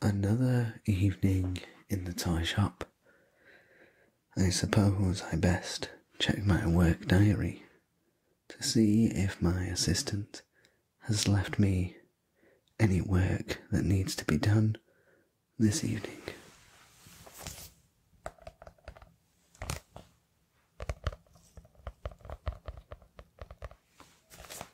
Another evening in the toy shop. I suppose I best check my work diary to see if my assistant has left me any work that needs to be done this evening.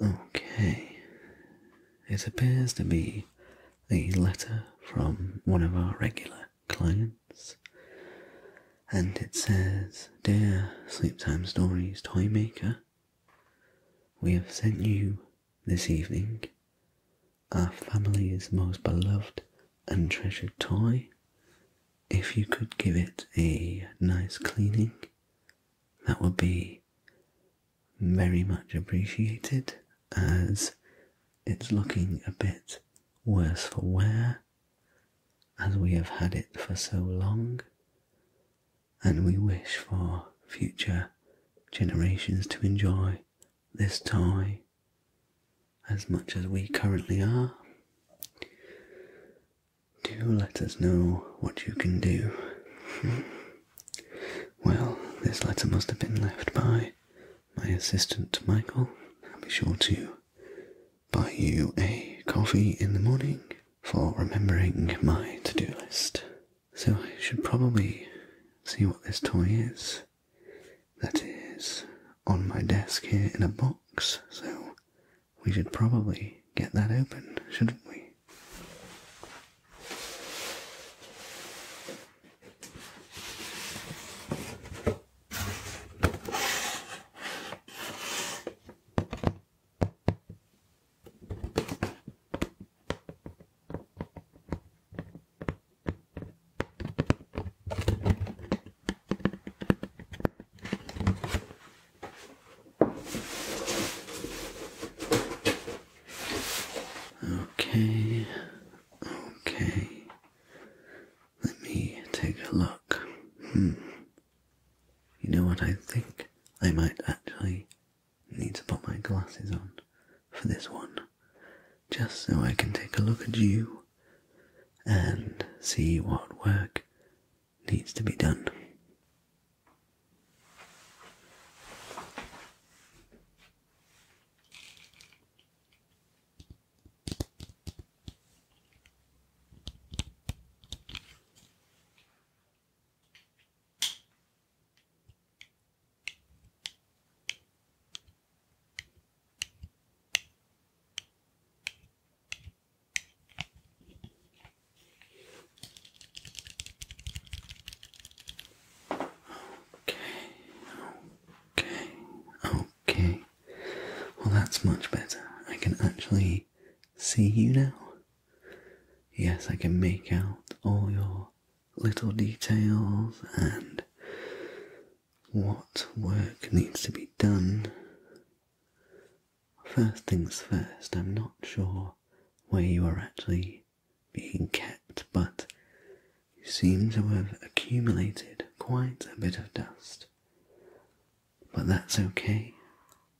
Okay. It appears to be a letter from one of our regular clients. And it says, Dear Sleep Time Stories Toy Maker, we have sent you this evening our family's most beloved and treasured toy. If you could give it a nice cleaning that would be very much appreciated as it's looking a bit worse for wear as we have had it for so long, and we wish for future generations to enjoy this toy as much as we currently are do let us know what you can do. Well, this letter must have been left by my assistant Michael. I'll be sure to buy you a coffee in the morning for remembering my to do list. So I should probably see what this toy is that is on my desk here in a box. So we should probably get that open, shouldn't we? Okay, okay. Let me take a look. Hmm. You know what? I think I might actually need to put my glasses on for this one, just so I can take a look at you and see what work needs to be done. Okay, okay, okay. Well, that's much better. I can actually see you now. Yes, I can make out all your little details and what work needs to be done first things first, I'm not sure where you are actually being kept, but you seem to have accumulated quite a bit of dust. But that's okay.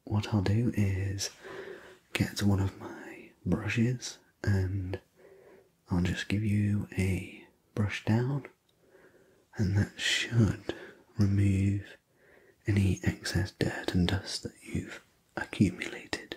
What I'll do is get one of my brushes and I'll just give you a brush down and that should remove any excess dirt and dust that you've accumulated.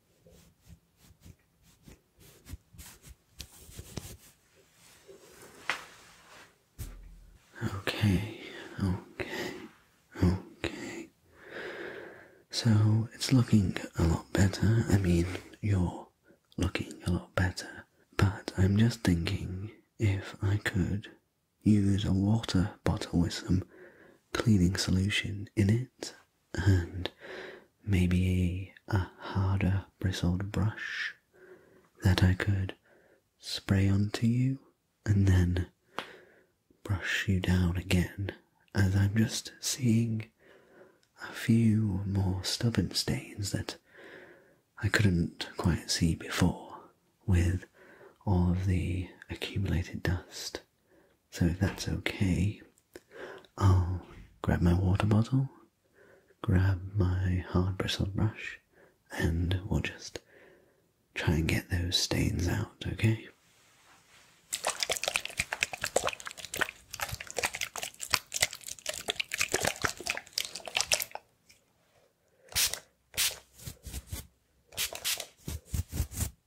Okay, okay, okay. So it's looking a lot better. I mean, you're looking a lot better. But I'm just thinking if I could use a water bottle with some cleaning solution in it and maybe a harder bristled brush that I could spray onto you and then brush you down again, as I'm just seeing a few more stubborn stains that I couldn't quite see before with all of the accumulated dust so if that's okay, I'll grab my water bottle, grab my hard bristle brush, and we'll just try and get those stains out, okay?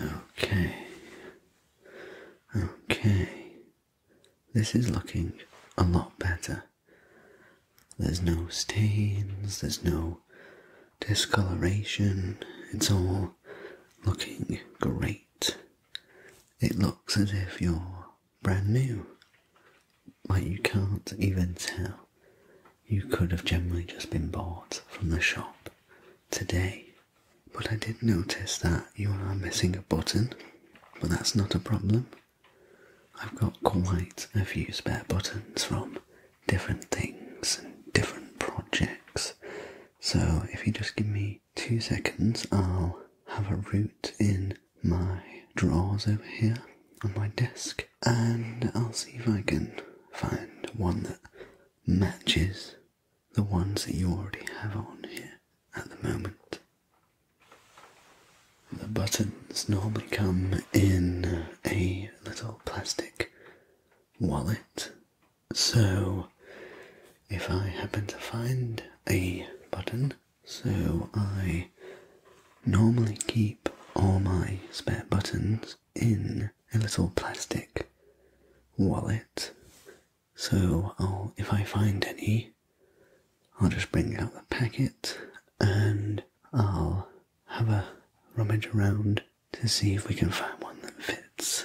Okay. Okay. This is looking a lot better. There's no stains, there's no discoloration, it's all looking great. It looks as if you're brand new. Like you can't even tell. You could have generally just been bought from the shop today. But I did notice that you are missing a button, but that's not a problem. I've got quite a few spare buttons from different things and different projects. So if you just give me two seconds, I'll have a root in my drawers over here on my desk, and I'll see if I can find one that matches the ones that you already have on here at the moment. The buttons normally come in a little plastic wallet, so if I happen to find a button so I normally keep all my spare buttons in a little plastic wallet. So I'll, if I find any, I'll just bring out the packet and I'll have a rummage around to see if we can find one that fits.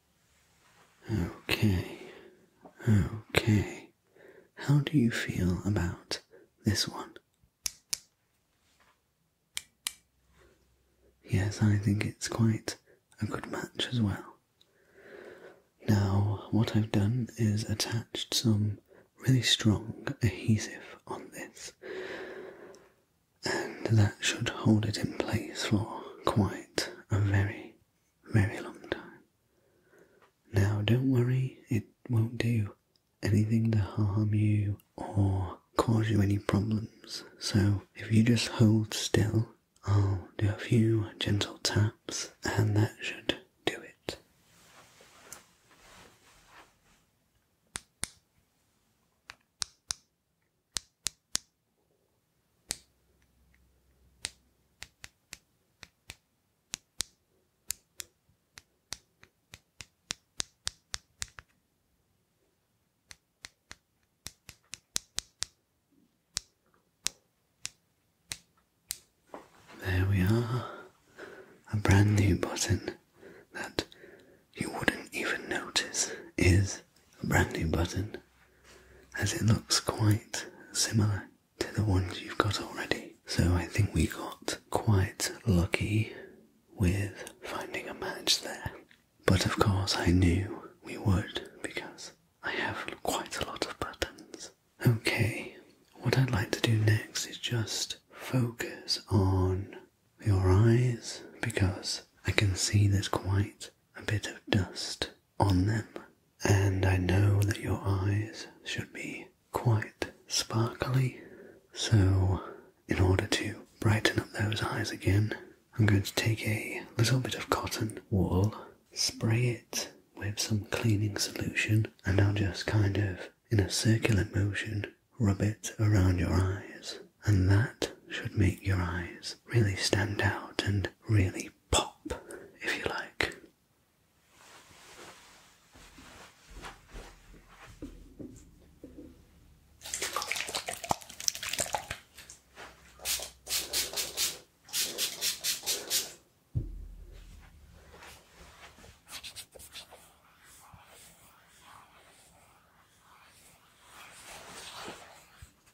Okay, okay. How do you feel about this one? Yes, I think it's quite a good match as well. Now, what I've done is attached some really strong adhesive on this, and that should hold it in place for quite a very very long time. Now, don't worry, it won't do anything to harm you or cause you any problems. So, if you just hold still, I'll do a few gentle taps, and that should do it. There we are, a brand new button that you wouldn't even notice is a brand new button as it looks quite similar to the ones you've got already. So I think we got quite lucky with finding a match there. But of course I knew we would because I have quite a lot of buttons. Okay, what I'd like to do next is just focus on your eyes because I can see there's quite a bit of dust on them, and I know that your eyes should be quite sparkly. So, in order to brighten up those eyes again, I'm going to take a little bit of cotton wool, spray it with some cleaning solution, and I'll just kind of, in a circular motion, rub it around your eyes, and that should make your eyes really stand out and really pop, if you like.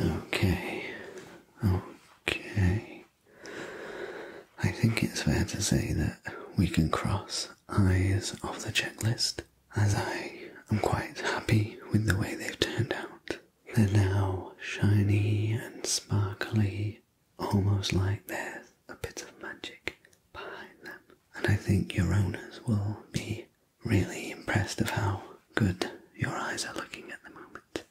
Okay, okay. I think it's fair to say that we can cross eyes off the checklist, as I am quite happy with the way they've turned out. They're now shiny and sparkly, almost like there's a bit of magic behind them, and I think your owners will be really impressed of how good your eyes are looking at the moment.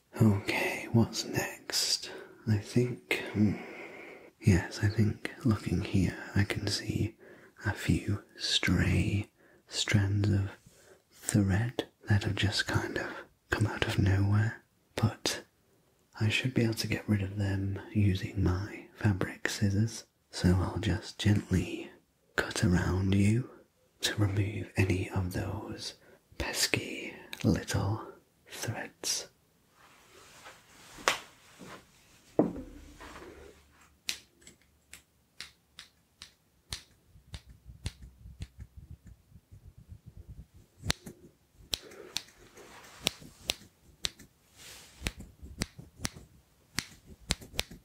Okay, what's next? I think. Hmm, yes, I think looking here, I can see a few stray strands of thread that have just kind of come out of nowhere, but I should be able to get rid of them using my fabric scissors so I'll just gently cut around you to remove any of those pesky little threads.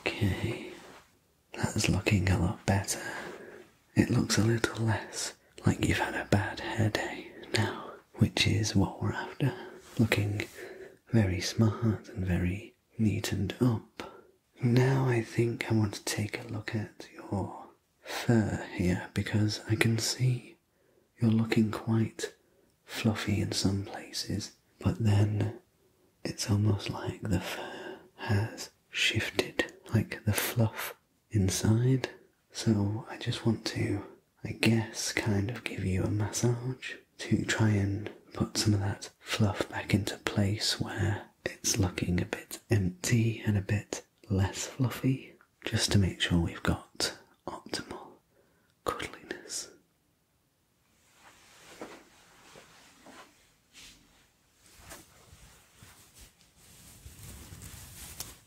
Okay, that's looking a lot better. It looks a little less like you've had a bad headache now which is what we're after looking very smart and very neat and up. Now I think I want to take a look at your fur here because I can see you're looking quite fluffy in some places, but then it's almost like the fur has shifted, like the fluff inside. So I just want to I guess, kind of give you a massage to try and put some of that fluff back into place where it's looking a bit empty and a bit less fluffy, just to make sure we've got optimal cuddliness.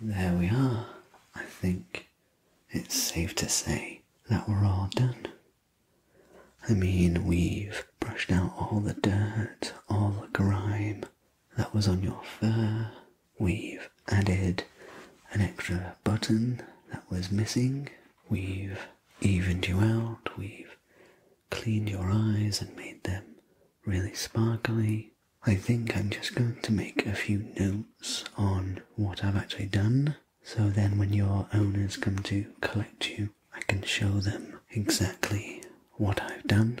There we are. I think it's safe to say that we're all done. I mean, we've brushed out all the dirt, all the grime that was on your fur, We've added an extra button that was missing. We've evened you out. We've cleaned your eyes and made them really sparkly. I think I'm just going to make a few notes on what I've actually done. So then when your owners come to collect you, I can show them exactly what I've done.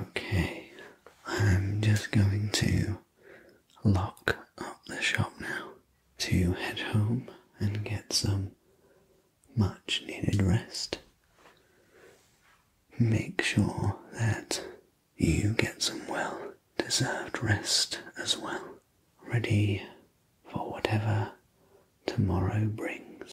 Okay, I'm just going to lock up the shop now to head home and get some much needed rest. Make sure that you get some well deserved rest as well, ready for whatever tomorrow brings.